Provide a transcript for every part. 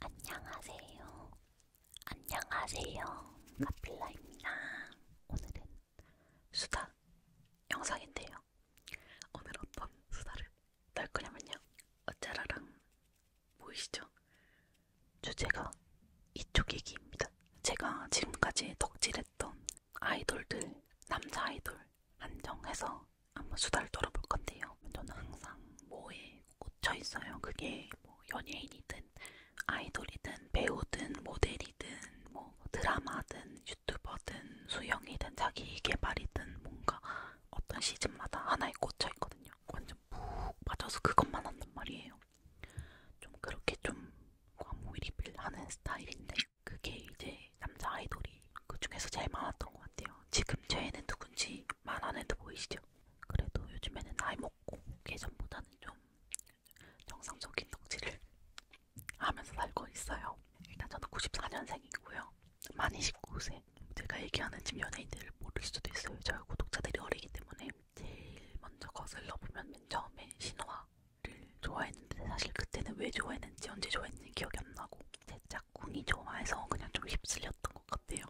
안녕하세요. 안녕하세요. 카필라입니다. 오늘은 수다 영상인데요. 오늘 어떤 수다를 떨 거냐면요. 어짜라랑 보이시죠? 주제가 이쪽이기입니다. 제가 지금까지 덕질했던 아이돌들, 남자 아이돌 한정해서 한번 수다를 떨어볼 건데요. 저는 항상 뭐에 꽂혀 있어요. 그게 뭐 연예인이든 아이돌이든 배우든 모델이든 뭐 드라마든 유튜버든 수영이든 자기 개발이든 뭔가 어떤 시즌마다 하나에 꽂혀 있거든요. 완전 푹 빠져서 그것만 한단 말이에요. 좀 그렇게 좀 과몰입을 하는 스타일인데 그게 이제 남자 아이돌이 그 중에서 제일 많았던 것 같아요. 지금 저희는 누군지 만 안에도 보이시죠? 그래도 요즘에는 나이 먹고 예전보다는 좀 정상적인 덕질을 하면서 살고 있어요. 일단 저는 94년생이고요. 만 29세. 제가 얘기하는 지금 연예인들을 모를 수도 있어요. 저희 구독자들이 어리기 때문에 제일 먼저 거슬러 보면 맨 처음에 신화를 좋아했는데 사실 그때는 왜 좋아했는지 언제 좋아했는지 기억이 안 나고 제 짝꿍이 좋아해서 그냥 좀 휩쓸렸던 것 같아요.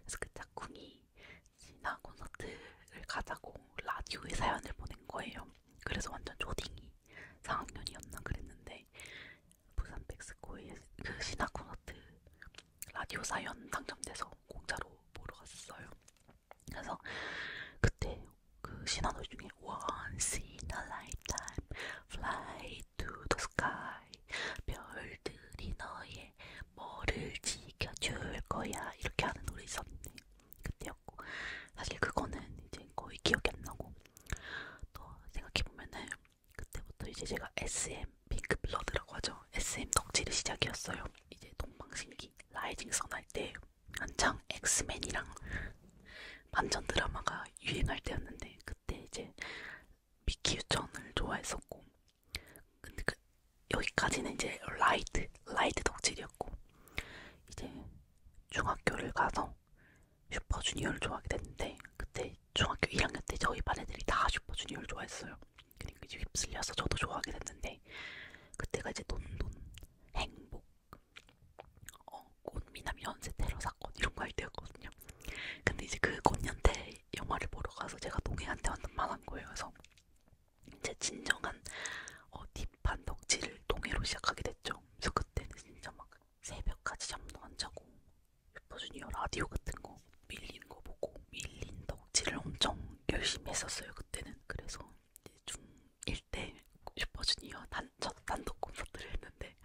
그래서 그 짝꿍이 진아 콘서트를 가자고 라디오에 사연을 보낸 거예요. 그래서 완전 초딩이 4학년이었나 그랬는데 부산 백스코의 그 신화 콘서트 라디오 사연 당첨돼서 공짜로 보러 갔어요. 그래서 그때 그 신화 노래 중에 Once in a lifetime, fly to the sky 별들이 너의 뭐를 지켜줄 거야 이렇게 하는 노래 있었는데 그때였고 사실 그거는 이제 거의 기억이 안 나고 또 생각해보면은 그때부터 이제 제가 SM 핑크 블러드라고 하죠 SM 덕질의 시작이었어요 이제 동방신기 라이징 선할때 한창 엑스맨이랑 반전 드라마가 유행할 때였는데 그때 이제 미키유천을 좋아했었고 근데 그 여기까지는 이제 라이트 라이트 덕질이었고 이제 중학교를 가서 슈퍼주니어를 좋아하게 됐는데 그때 중학교 1학년 때 저희 반 애들이 다 슈퍼주니어를 좋아했어요. 그러니까 이제 휩쓸려서 저도 좋아하게 됐는데 그때가 이제 돈돈 행복 어 꽃미남 연쇄 테러 사건 이런 거 할 때였거든요. 근데 이제 그 꽃년태 영화를 보러 가서 제가 동행한테 완전 만한 거예요. 그래서 이제 진정한 어, 딥한 덕질을 동해로 시작하게 됐죠. 그래서 그때는 진짜 막 새벽까지 잠도 안 자고 슈퍼주니어 라디오 같은 거 밀린 거 보고 밀린 덕질을 엄청 열심히 했었어요. 그때는 그래서 중1 때 슈퍼주니어 단, 첫 단독 콘서트를 했는데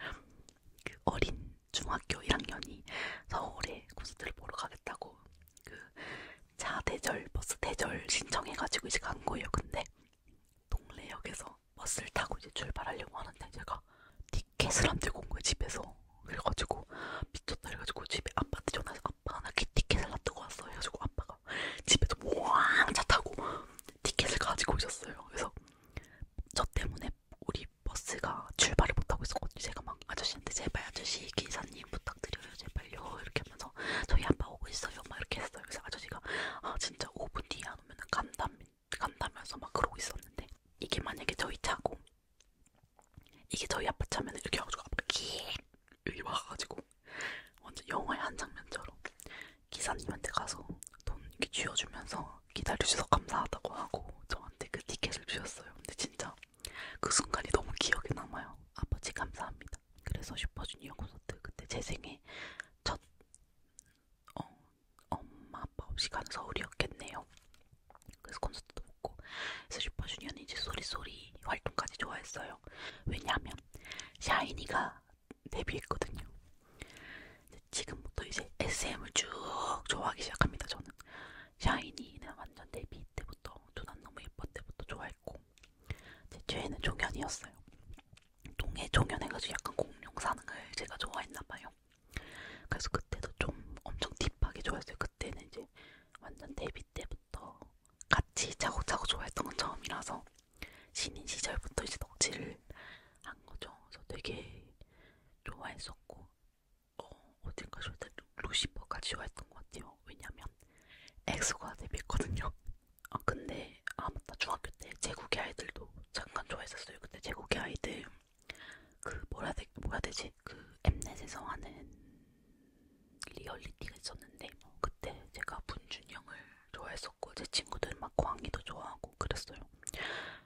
그 어린 중학교 1학년이 서울에 콘서트를 보러 가겠다고 그 차 대절 버스 대절 신청해가지고 이제 간 거예요. 근데 동래역에서 버스를 타고 이제 출발하려고 하는데 제가 티켓을 안 들고 온 거예요 집에서. 그래가지고 미쳤다 그래가지고 집에 아빠한테 전화해서 아빠 나 티켓을 안 들고 왔어 해가지고 아빠가 집에서 왕차 타고 티켓을 가지고 오셨어요. 그래서 저 때문에 때문에 우리 버스가 출발을 못하고 있었거든요. 제가 막 아저씨한테 제발 아저씨 기사님 부탁드려요. 제발요. 이렇게 하면서 저희 아빠 오고 있어요. 막 이렇게 했어요. 그래서 아저씨가 아 진짜 5분 뒤에 안 오면 간담, 간다면서 막 그러고 있었는데 이게 만약에 저희 차고 이게 저희 아빠 차면 이렇게 해가지고 아빠가 기 여기 와가지고 완전 영화의 한 장면처럼 기사님한테 가서 돈 이렇게 쥐어주면서 기다려주셔서 감사하다고 하고 저한테 그 티켓을 주셨어요. 근데 진짜 그 순간이 너무 기억에 남아요. 아버지 감사합니다. 그래서 슈퍼주니어 콘서트 그때 제 생애 첫 어, 엄마 아빠 없이 간 서울이었겠네요. 그래서 콘서트도 보고 그래서 슈퍼주니어는 이제 소리소리 활동까지 좋아했어요. 왜냐하면 샤이니가 데뷔했거든요. 지금부터 이제 SM을 쭉 좋아하기 시작합니다. 저는 샤이니는 완전 데뷔 때부터 두난 너무 예뻐 때부터 좋아했고 제 최애는 종현이었어요. 동해 종현해가지고 약간 공룡 사는 걸 제가 좋아했나봐요. 그래서 그때도 좀 엄청 딥하게 좋아했어요. 그때는 이제 완전 데뷔 때부터 같이 차고차고 좋아했던 건 처음이라서 신인 시절부터 이제 덕질을 한 거죠. 그래서 되게 좋아했었고 어, 어젠가 절대 루시퍼까지 좋아했던 것 같아요. 왜냐면 엑소가 데뷔했거든요. 아 근데 아 맞다 중학교 때 제국의 아이들도 잠깐 좋아했었어요. 그때 제국의 아이들 그 뭐라 되 뭐라 되지 그 엠넷에서 하는 리얼리티가 있었는데 뭐 그때 제가 분준형을 좋아했었고 제 친구들 막 광희도 좋아하고 그랬어요.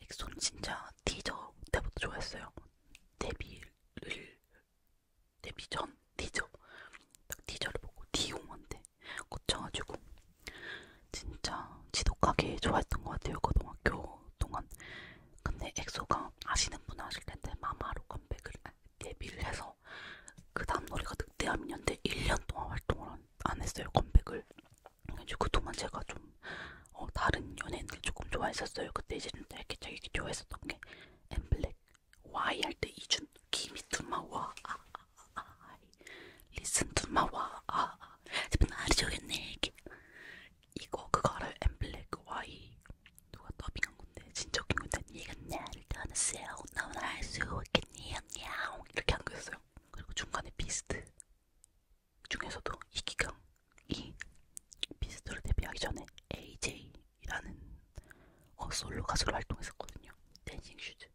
엑소는 진짜 티저 때부터 좋아했어요. 데뷔를 데뷔 전 티저 딱 티저를 보고 디용한데 꽂혀가지고 진짜 지독하게 좋아했던 것 같아요 고등학교 동안. 근데 엑소가 아시는 분 아실 텐데 마마로 컴백을 아, 데뷔를 해서 그 다음 노래가 늑대암이었는데 1년 동안 활동을 안 했어요 컴백을. 이제 그동안 제가 좀 어, 다른 연예인들 조금 좋아했었어요. 그때 이제 좀 되게 되게 좋아했었던 게 엠블랙, Y 할때 이준, 기미투마와 아, 아, 아, 리슨 투마와 아, 아, 제발 나를 좋겠네 이거 그거 알아요? 엠블랙, Y 누가 더빙한 건데 진짜 웃긴 건데 네가 나를 떠났어요. 나 오늘 알수 없겠니? 이렇게 한 거였어요. 그리고 중간에 비스트 중에서도 이 기강이 비스트로 데뷔하기 전에 AJ라는 어, 솔로 가수로 활동했었거든요. 댄싱 슈즈.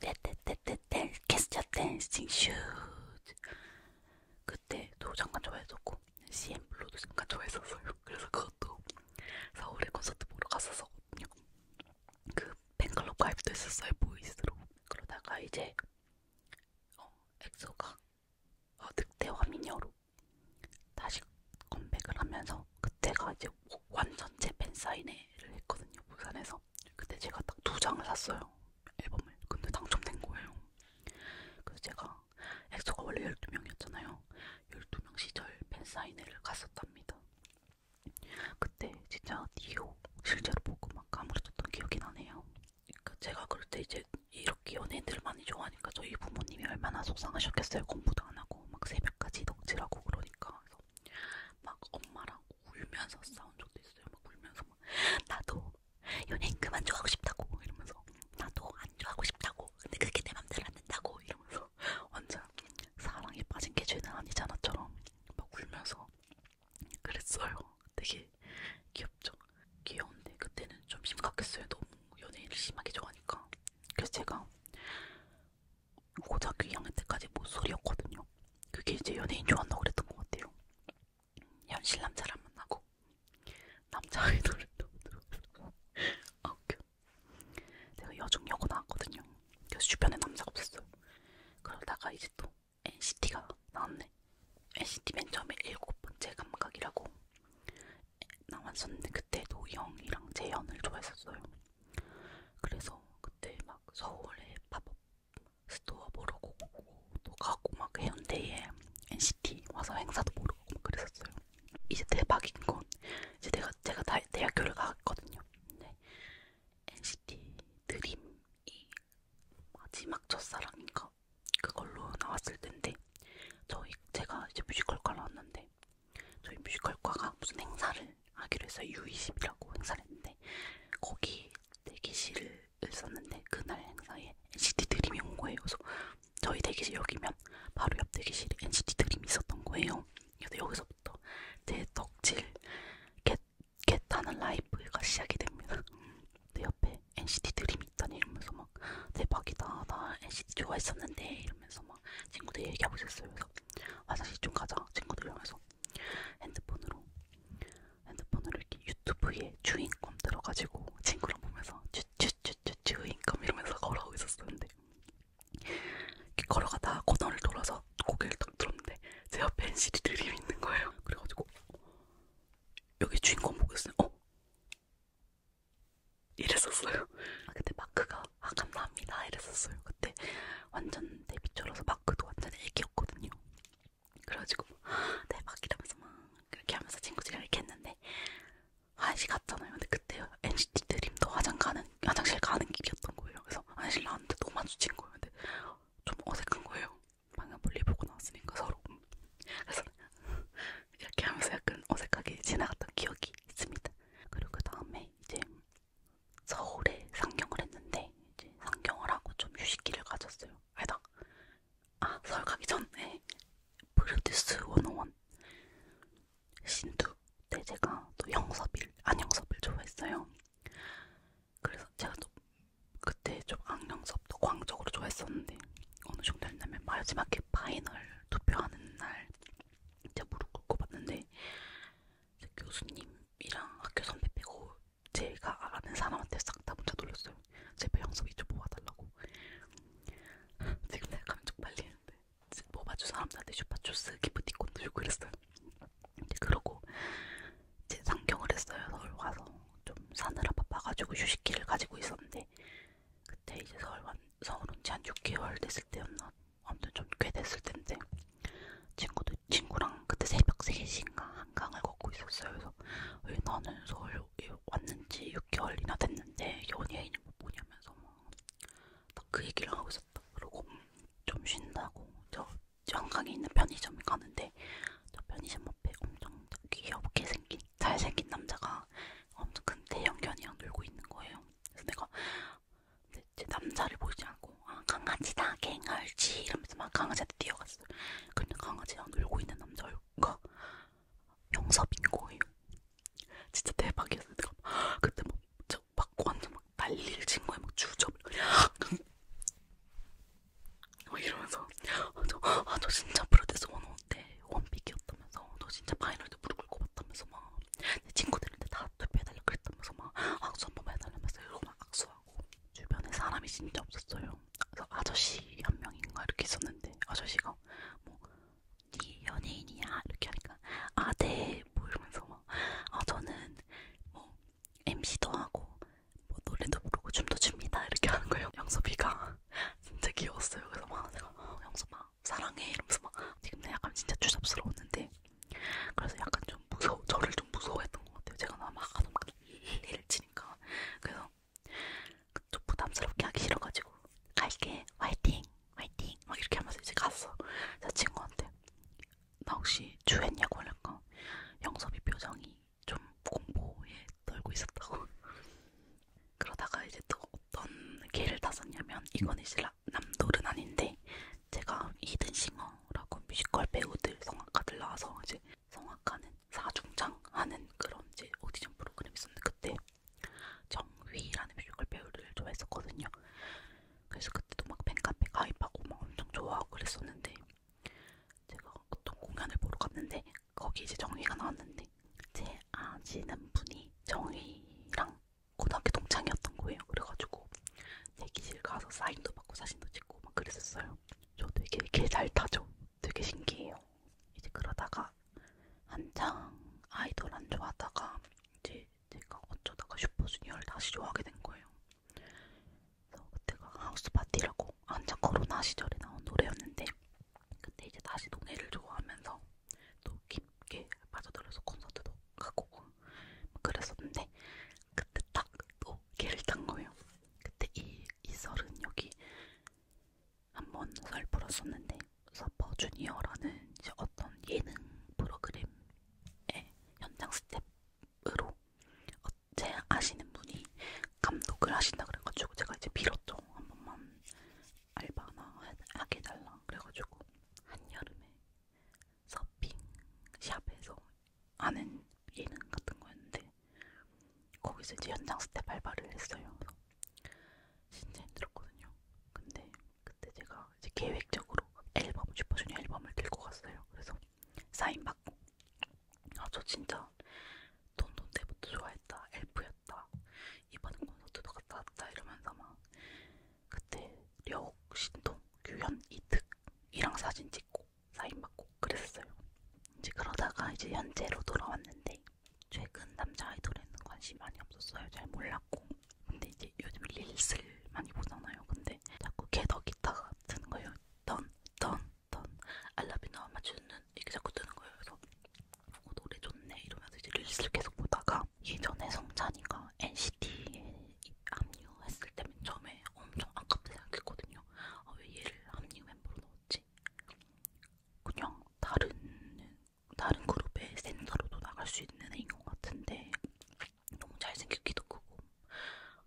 떼떼떼떼떼 캐스터 댄싱 슈즈. 그때도 잠깐 좋아했었고 CM 블루도 잠깐 좋아했었어요. 그래서 그것도 서울에 콘서트 보러 갔었거든요. 그 팬클럽 가입도 했었어요. 보이스로. 그러다가 이제 어, 엑소가 어, 늑대와 미녀로 다시 컴백을 하면서 그때가 이제 완전체 팬사인회를 했거든요 부산에서 그때 제가 딱 두 장을 샀어요 앨범을 근데 당첨된 거예요 그래서 제가 엑소가 원래 12명이었잖아요 12명 시절 팬사인회를 갔었답니다 그때 진짜 디오 실제로 보고 막 까무러졌던 기억이 나네요 그러니까 제가 그럴 때 이제 이렇게 연예인들 많이 좋아하니까 저희 부모님이 얼마나 속상하셨겠어요. 공부도 안 하고 막 새벽까지 덕질하고 그러니까 그래서 막 엄마랑 울면서 싸운 적도 있어요. 막 울면서 막 나도 연예인 그만 좋아하고 싶다고 이러면서 나도 안 좋아하고 싶다고 근데 그게 내 맘대로 안 된다고 이러면서 완전 사랑에 빠진 게 죄는 아니잖아처럼 막 울면서 그랬어요. 되게 귀엽죠. 귀여운데 그때는 좀 심각했어요. 너무 연예인을 심하게 좋아하니까. 그래서 제가 고작 2학년 때까지 모쏠이었거든요. 뭐 그게 이제 연예인 좋아한다고 그랬던 것 같아요. 현실 남자를 안 만나고 남자 아이돌을 너무 들어서 아 웃겨. 제가 여중여고 나왔거든요. 그래서 주변에 남자가 없었어요. 그러다가 이제 또 NCT가 나왔네. NCT 맨 처음에 일곱 번째 감각이라고 나왔었는데 그때도 영이랑 재현을 좋아했었어요. 그래서 그때 막 서울에 팝업 스토어 보러 가고 또 가고 막 해운대에 NCT 와서 행사도 보러 가고 막 그랬었어요. 이제 대박인 건 이제 내가 제가 다, 대학교를 갔거든요. 근데 NCT 드림이 마지막 첫사랑인가 아닌가 그걸로 나왔을 텐데 저희 제가 이제 뮤지컬과 나왔는데 저희 뮤지컬과가 무슨 행사를 하기로 해서 U20이라고 행사를 했는데 거기 대기실을 썼는데 그날 행사에 NCT 드림이 온 거예요. 그래서 저희 대기실 여기면 바로 옆 대기실에 NCT 드림이 있었던 거예요. 그래서 여기서부터 제 덕질, 개, 캣하는 라이프가 시작이 됩니다. 내 옆에 NCT 드림이 있다니 이러면서 막 대박이다 나 NCT 좋아했었는데 이러면서 막 친구들 얘기하고 있었어요. 그래서 화장실 아, 좀 가자 친구들이면서 핸드폰으로 핸드폰으로 이렇게 유튜브에 주인검 들어가지고 친구랑 보면서 쭈쭈쭈쭈 주인검 이러면서 걸어가고 있었었는데 이렇게 걸어가다 코너를 돌아서 고개를 딱 들었는데 제 앞에 NCT 드림이 있는 거예요. 그래가지고 여기 주인공 보겠어요. 어? 이랬었어요. 아, 근데 마크가 아 감사합니다 이랬었어요. 그때 완전 데뷔초라서 마크도 완전 애기였거든요. 그래가지고 대박 네, 이러면서 막 그렇게 하면서 친구들이랑 이렇게 했는데 화장실 갔잖아요. 근데 그때 NCT 드림도 화장 가는, 화장실 가는 길이었던 거예요. 그래서 화장실 나왔는데 너무 마주친 거예요. 근데 좀 어색한 거예요. 방금 볼리 보고 나왔으니까 서로 그래서 이렇게 하면서 약간 어색하게 지나갔던 기억이 있습니다. 그리고 그 다음에 이제 서울에 상경을 했는데 이제 상경을 하고 좀 휴식기를 가졌어요. 아니다. 아 서울 가기 전에 브루디스 101 신두 때 제가 또 영섭일 안영섭을 좋아했어요. 그래서 제가 또 그때 좀 악령 수업도 광적으로 좋아했었는데 어느 정도였냐면 마지막에 파이널 투표하는 날 이제 무릎 꿇고 봤는데 이제 교수님이랑 학교 선배 빼고 제가 아는 사람한테 싹다 문자 돌렸어요. 제발 형섭이 좀 뽑아달라고. 지금 내가 감정 빨리는데 뽑아준 뭐 사람들한테 슈퍼초스 기프티콘도 주고 그랬어요. 이제 그러고 제 상경을 했어요. 서울 와서 좀 사느라 바빠가지고 휴식기를 가지고 있었는데 그때 이제 서울 온, 서울 온지 한 6개월 됐을 때였나 아무튼 좀 꽤 됐을 텐데 친구도 친구랑 그때 새벽 3시인가 한강을 걷고 있었어요. 그래서 왜 나는 서울 왔는지 6개월이나 됐는데 연예인이 뭐냐면서 막 그 얘기를 하고 있었다. 그러고 좀 쉰다고 저 한강에 있는 편의점 가는데 저 편의점 앞에 엄청 귀엽게 생긴 잘생긴 남자가 엄청 큰 대형견이랑 놀고 있는 거예요. 그래서 내가 네, 제 남자를 보이지 않고 아 강아지다 갱얼지 이러면서 막 강아지한테 뛰어갔어요. 근데 강아지랑 놀고 있는 남자가 영섭인 거예요. 진짜 대박이었어요. 내가 그때 막, 막 완전 막 난리를 친 거예요. 막 주접을 어, 이러면서 아, 저, 아, 저 진짜 프로데스 원호 때 원픽이었다면서 저 진짜 파이널도 무릎 꿇고 봤다면서 막 내 친구들한테 다 투표해달라 그랬다면서 막 악수 한 번만 해달라면서 이러고 막 악수하고 주변에 사람이 진짜 없었어요 그래서 아저씨 한 명인가 이렇게 있었는데 아저씨가 뭐 네 연예인이야 이렇게 하니까 아 네 뭐 이러면서 막 아 저는 뭐 MC도 하고 뭐 노래도 부르고 춤도 춥니다 이렇게 하는 거예요. 영섭이가 진짜 귀여웠어요. 그래서 막 내가 어, 영섭아 사랑해 이러면서 막 지금 내 약간 진짜 추잡스러웠는데 그래서 약간 좀 무서워 저를 좀 무서워했던 것 같아요. 제가 막 하도 막 일을 치니까 그래서 좀 부담스럽게 하기 싫어가지고 갈게 화이팅 화이팅 막 이렇게 하면서 이제 갔어. 자 친구한테 나 혹시 주했냐고 하니까 영섭이 표정이 좀 공포에 떨고 있었다고. 그러다가 이제 또 어떤 계를 탔었냐면 이건 이제 남돌은 아닌데 제가 히든싱어라고 뮤지컬 배우들 성악가들 나와서 이제 성악하는 사중창 하는 그런 이제 오디션 프로그램이 있었는데 그때 정휘라는 뮤지컬 배우를 좋아했었거든요. 그래서 그때도 막 팬카페 가입하고 막 엄청 좋아하고 그랬었는데 제가 어떤 공연을 보러 갔는데 거기 이제 정휘가 나왔는데 제 아시는 분이 정휘랑 고등학교 동창이었던 거예요. 그래가지고 대기실 가서 사인도 받고 사진도 찍고 막 그랬었어요. 저 되게 개잘 타죠. 되게 신기해요. 이제 그러다가 한창 아이돌 안 좋아하다가 이제 제가 어쩌다가 슈퍼주니어를 다시 좋아하게 된 거예요. 그때가 하우스 파티라고 한창 코로나 시절에 나온 노래였는데 그때 이제 다시 노래를 좋아하면서 또 깊게 빠져들어서 콘서트도 가고 그랬었는데 그때 딱 또 개를 탄 거예요. 그때 이, 이 설은 여기 한번 설 풀었었는데 서퍼 주니어라는 이제 어떤 예능 프로그램의 현장 스텝으로 어, 제 아시는 분이 감독을 하신다 그래가지고 제가 이제 빌었죠. 한 번만 알바 하나 하게 해달라. 그래가지고 한여름에 서핑샵에서 아는 예능 같은 거였는데 거기서 이제 연장 스텝 알바를 했어요. 진짜 힘들었거든요. 근데 그때 제가 이제 계획적으로 앨범 슈퍼주니어 앨범을 들고 갔어요. 그래서 사인 받고 아 저 진짜 돈돈 때부터 좋아했다 엘프였다 이번 콘서트도 갔다 왔다 이러면서 막 그때 려욱, 신동, 규현, 이특 이랑 사진 찍고 사인 받고 그랬어요 이제 그러다가 이제 현재로 돌아왔는데 최근 남자 아이돌에는 관심이 많이 없었어요 잘 몰랐고 근데 이제 요즘 릴스를 많이 보잖아요 근데 자꾸 개덕 기타 같은 거요 던, 던, 했던 알라비 나와마주는 이게 자꾸 뜨는 거예요. 그래서 어, 노래 좋네 이러면서 이제 릴스를 계속 보다가 예전에 성찬이가 NCT에 합류했을 때맨 처음에 엄청 아깝게 생각했거든요. 아, 왜 얘를 합류 멤버로 넣었지? 그냥 다른 다른 그룹의 센터로도 나갈 수 있는 애인 것 같은데 너무 잘생겼기도 크고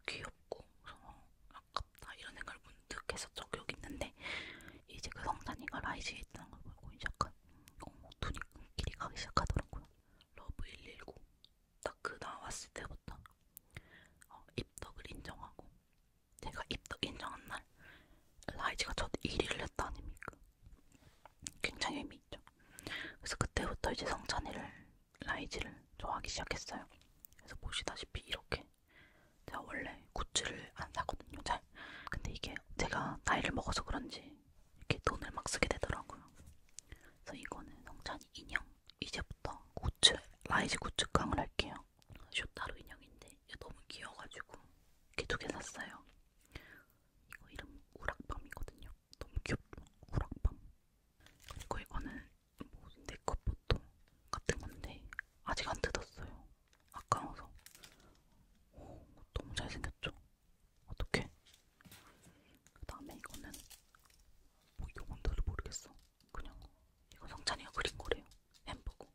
귀엽고 그래서 아, 아깝다 이런 생각을 문득 했었죠 기억이 있는데 이제 그 성찬이가 라이즈에 있다는 걸 보고 약간 어, 눈이 길이 가기 시작하더라고요 러브 119 딱 그 나왔을 때부터 어, 입덕을 인정하고 제가 입덕 인정한 날 라이즈가 첫 1위를 했다 아닙니까 굉장히 의미 있죠 그래서 그때부터 이제 성찬이를 라이즈를 좋아하기 시작했어요 그래서 보시다시피 이렇게 제가 원래 굿즈를 안 사거든요, 잘. 근데 이게 제가 나이를 먹어서 그런지 이렇게 돈을 막 쓰게 되더라고요. 그래서 이거는 성찬이 인형. 이제부터 굿즈, 라이즈 굿즈 깡을 할게요. 쇼타로 인형인데 너무 귀여워가지고 이렇게 두 개 샀어요. 이거 이름 우락밤이거든요. 너무 귀엽죠? 우락밤. 그리고 이거는 뭐 네컷 포토 같은 건데 아직 안 뜯었어요. 아까워서. 오, 어, 너무 잘생겼죠? 어떡해? 그 다음에 이거는 뭐 이건 나도 모르겠어. 그냥 이거 성찬이가 그린 거래요. 햄버거.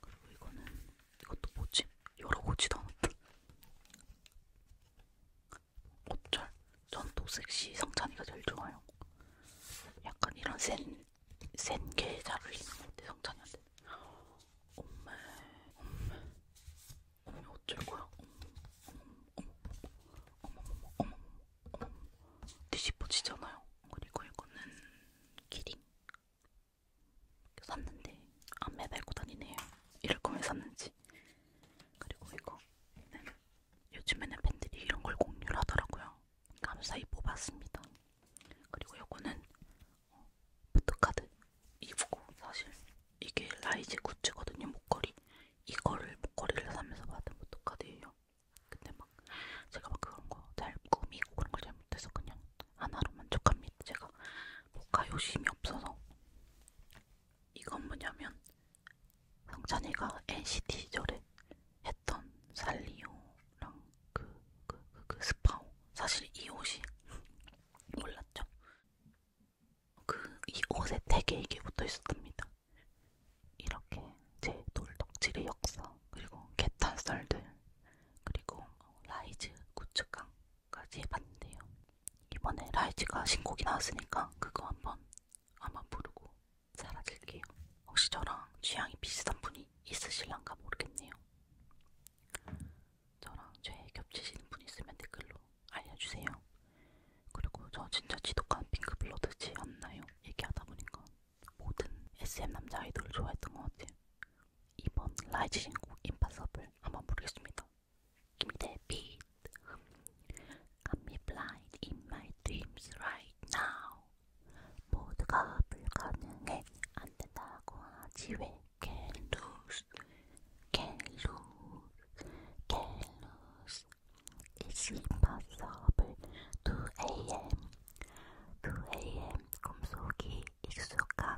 그리고 이거는 이것도 뭐지? 열어보지도 않았다. 옷철 전 도색시 성찬이가 제일 좋아요. 약간 이런 센센게 잘 어울리는 것 같아 성찬이한테. 엄마, 엄마, 엄마 어쩔 거야? 어머, 어머, 어머, 어머, 어머, 뒤집어지잖아요. 그리고 이거는 키링 샀는데 안 매달고 다니네요. 이럴 거면 샀는지. 그리고 이거. 네. 요즘에는 팬들이 이런 걸 공유를 하더라고요. 감사히 뽑았습니다. 그리고 요거는 어, 포트카드 이브고 사실 이게 라이즈 굿즈거든요. 목걸이. 이거를 목걸이를 사면서 받은 포트카드예요. 근데 막 제가 막 그런 거 잘 꾸미고 그런 걸 잘 못해서 그냥 하나로 만족합니다. 제가 뭐가 욕심이 없어서 이건 뭐냐면 성찬이가 NCT 시절에 했던 살리오랑 그, 그, 그, 그 스파오 사실 이 옷이 몰랐죠? 그 이 옷에 되게 이게 붙어 있었답니다. 이렇게 제 돌덕질의 역사 그리고 개탄썰들 그리고 라이즈 구축강까지 해봤는데요. 이번에 라이즈가 신곡이 나왔으니까 그거 한번 한번 부르고 사라질게요. 혹시 저랑 취향이 비슷한 분이 있으실란가 모르겠네요. 저랑 죄에 겹치시는 분 있으면 댓글로 알려주세요. 그리고 저 진짜 지독한 핑크블러드지 않나요? 얘기하다 보니까 모든 SM 남자 아이돌을 좋아했던 것 같아요. 이번 라이즈 신곡 임파서블 한번 부르겠습니다. Give me that beat. I'm blind in my dreams right now. 모두가 불가능해 안 된다고 하지 Can lose, can lose, can lose. It's impossible. 2am, 2am 꿈속이 익숙한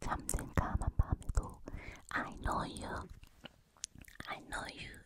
잠든 까만 밤에도 I know you, I know you.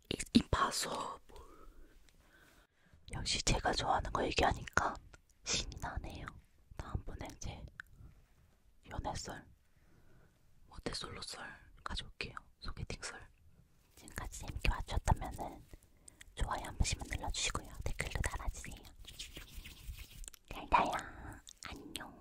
It's impossible. 역시 제가 좋아하는 거 얘기하니까 신이 나네요. 다음번에 이제 연애썰, 모태솔로썰 가져올게요. 소개팅썰. 지금까지 재밌게 봐주셨다면 좋아요 한 번씩만 눌러주시고요. 댓글도 달아주세요. 잘 가요. 안녕.